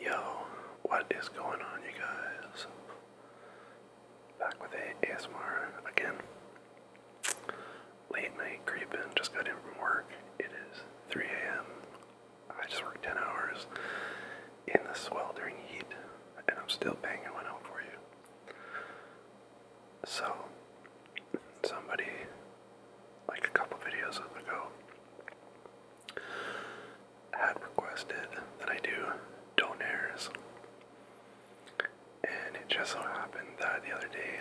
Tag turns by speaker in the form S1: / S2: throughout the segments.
S1: Yo, what is going on, you guys? Back with a ASMR again. Late night creeping, just got in from work. It is 3 a.m. I just worked 10 hours in the sweltering heat, and I'm still banging one out for you. So, somebody, like a couple videos on the go had requested that I do donaires. And it just so happened that the other day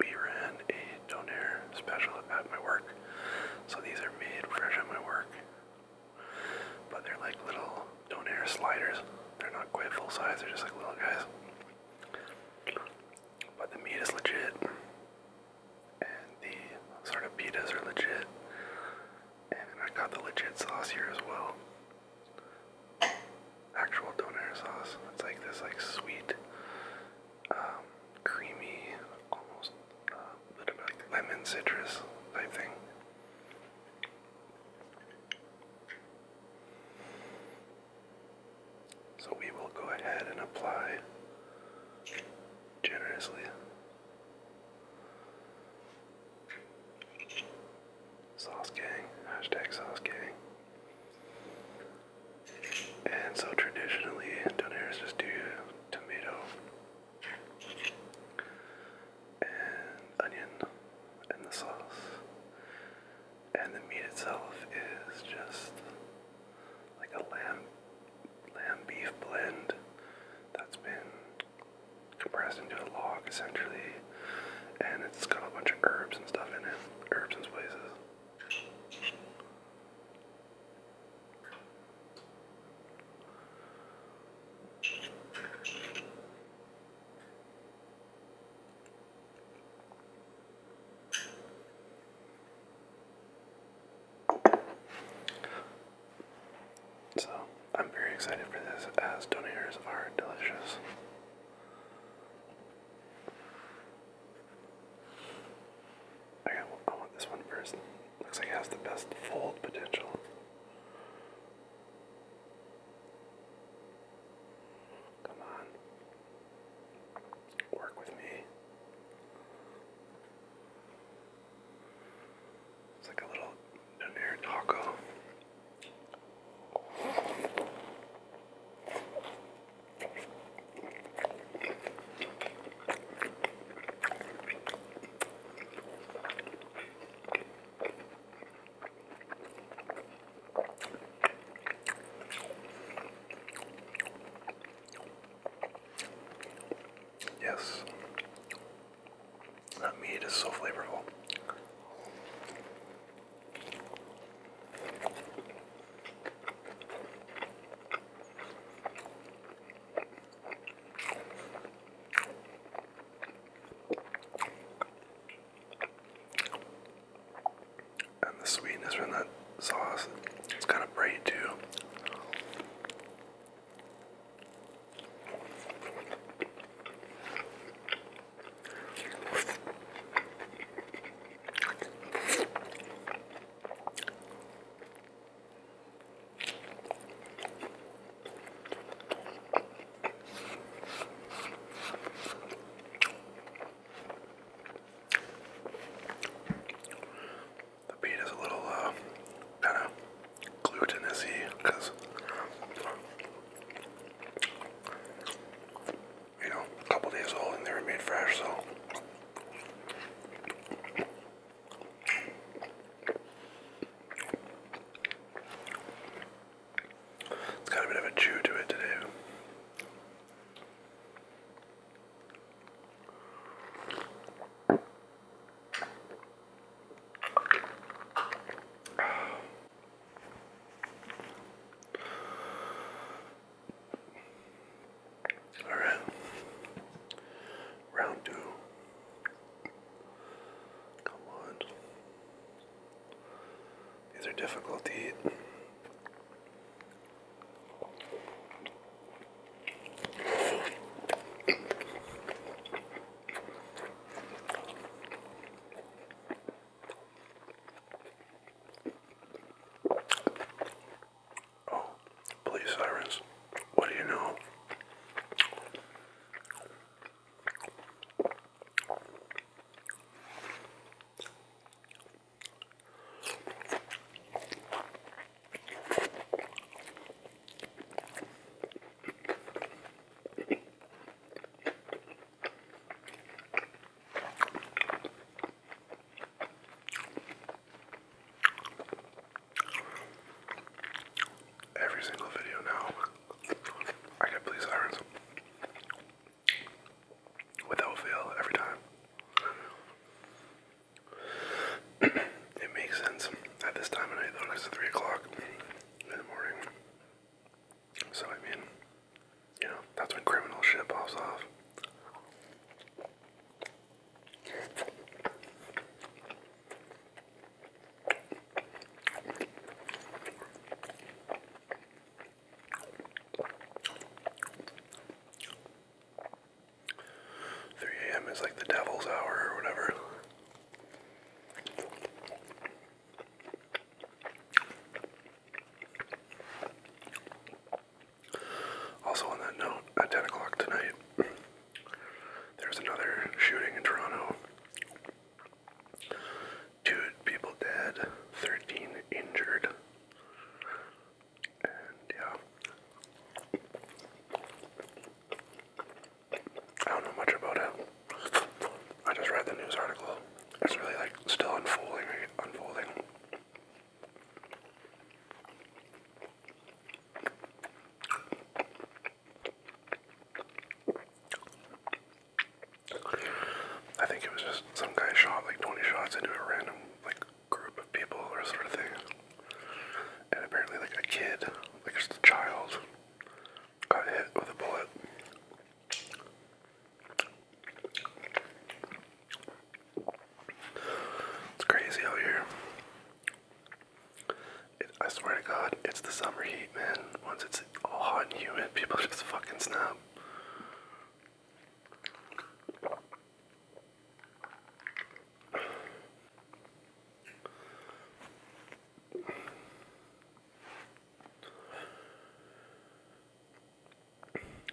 S1: we ran a donaire special at my work. So these are made fresh at my work. But they're like little donaire sliders. They're not quite full size, they're just like little guys. But the meat is legit and the sort of pitas are legit. And I got the legit sauce here as well. Actual donair sauce. It's like this, like sweet, um, creamy, almost uh, a little bit lemon citrus type thing. So we will go ahead and apply generously. Sauce gang, hashtag sauce gang. And so traditionally, donaires just do tomato and onion and the sauce. And the meat itself is just like a lamb lamb beef blend that's been compressed into a log essentially and it's got a bunch of herbs and stuff in it. Herbs and spices. So, I'm very excited for this as donators are delicious. Okay, well, I want this one first. Looks like it has the best fold potential. Come on. Work with me. It's like a little donair taco. Yes. That meat is so flavorful and the sweetness from that sauce its kind of bright too. The beet is a little uh, kind of glutinous y because, you know, a couple days old and they were made fresh, so. It's kind of a bit of a chew to it today. All right, round two. Come on. These are difficult to eat. Oh, police sirens. What do you know? Every single video now, I get police sirens without fail every time. it makes sense at this time of night it's three o'clock in the morning. So I mean, you know, that's when criminal shit pops off. 3 a.m. is like the devil's hour or whatever. Also, on that note, at 10 o'clock tonight, there's another shooting in Toronto two people dead, 13 injured. And yeah. I don't know much about it. I just read the news article. It's really like still unfolding, unfolding. I think it was just some guy shot like 20 shots into a random like group of people or sort of thing. And apparently like a kid, like just a child, got hit with a bullet. It's crazy out here. It, I swear to God, it's the summer heat, man. Once it's all hot and humid, people just fucking snap.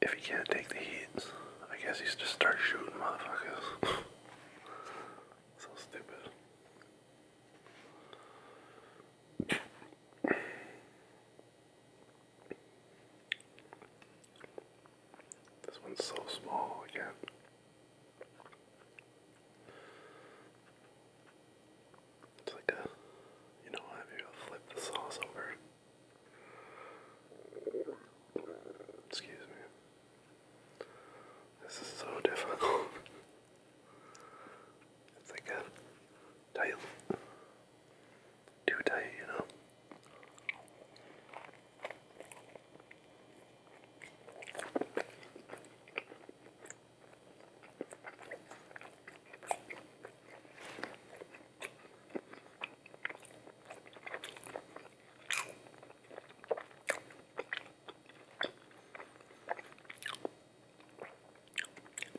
S1: If he can't take the heat, I guess he just start shooting motherfuckers. so stupid. This one's so small again. It's like a, you know what, maybe flip the sauce over. Excuse me. This is so difficult. it's like a tight, too tight, you know.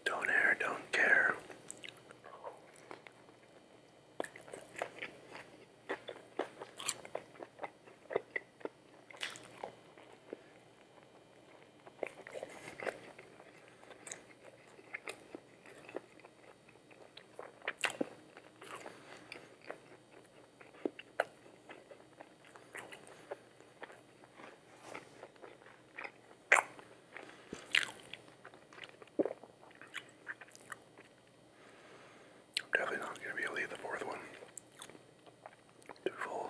S1: Don't care. don't care. I'm definitely not going to be able to eat the fourth one. Too full.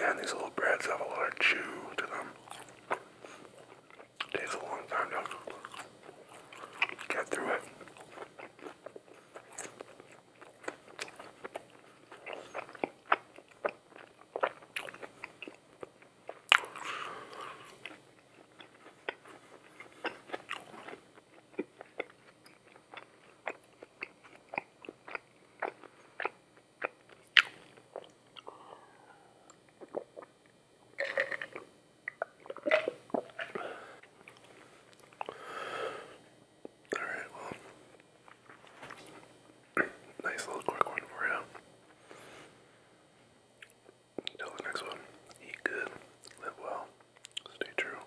S1: And these little breads have a lot of chew to them. Takes a long time to get through it. All right, well, nice little quick for you. Until the next one, eat good, live well, stay true,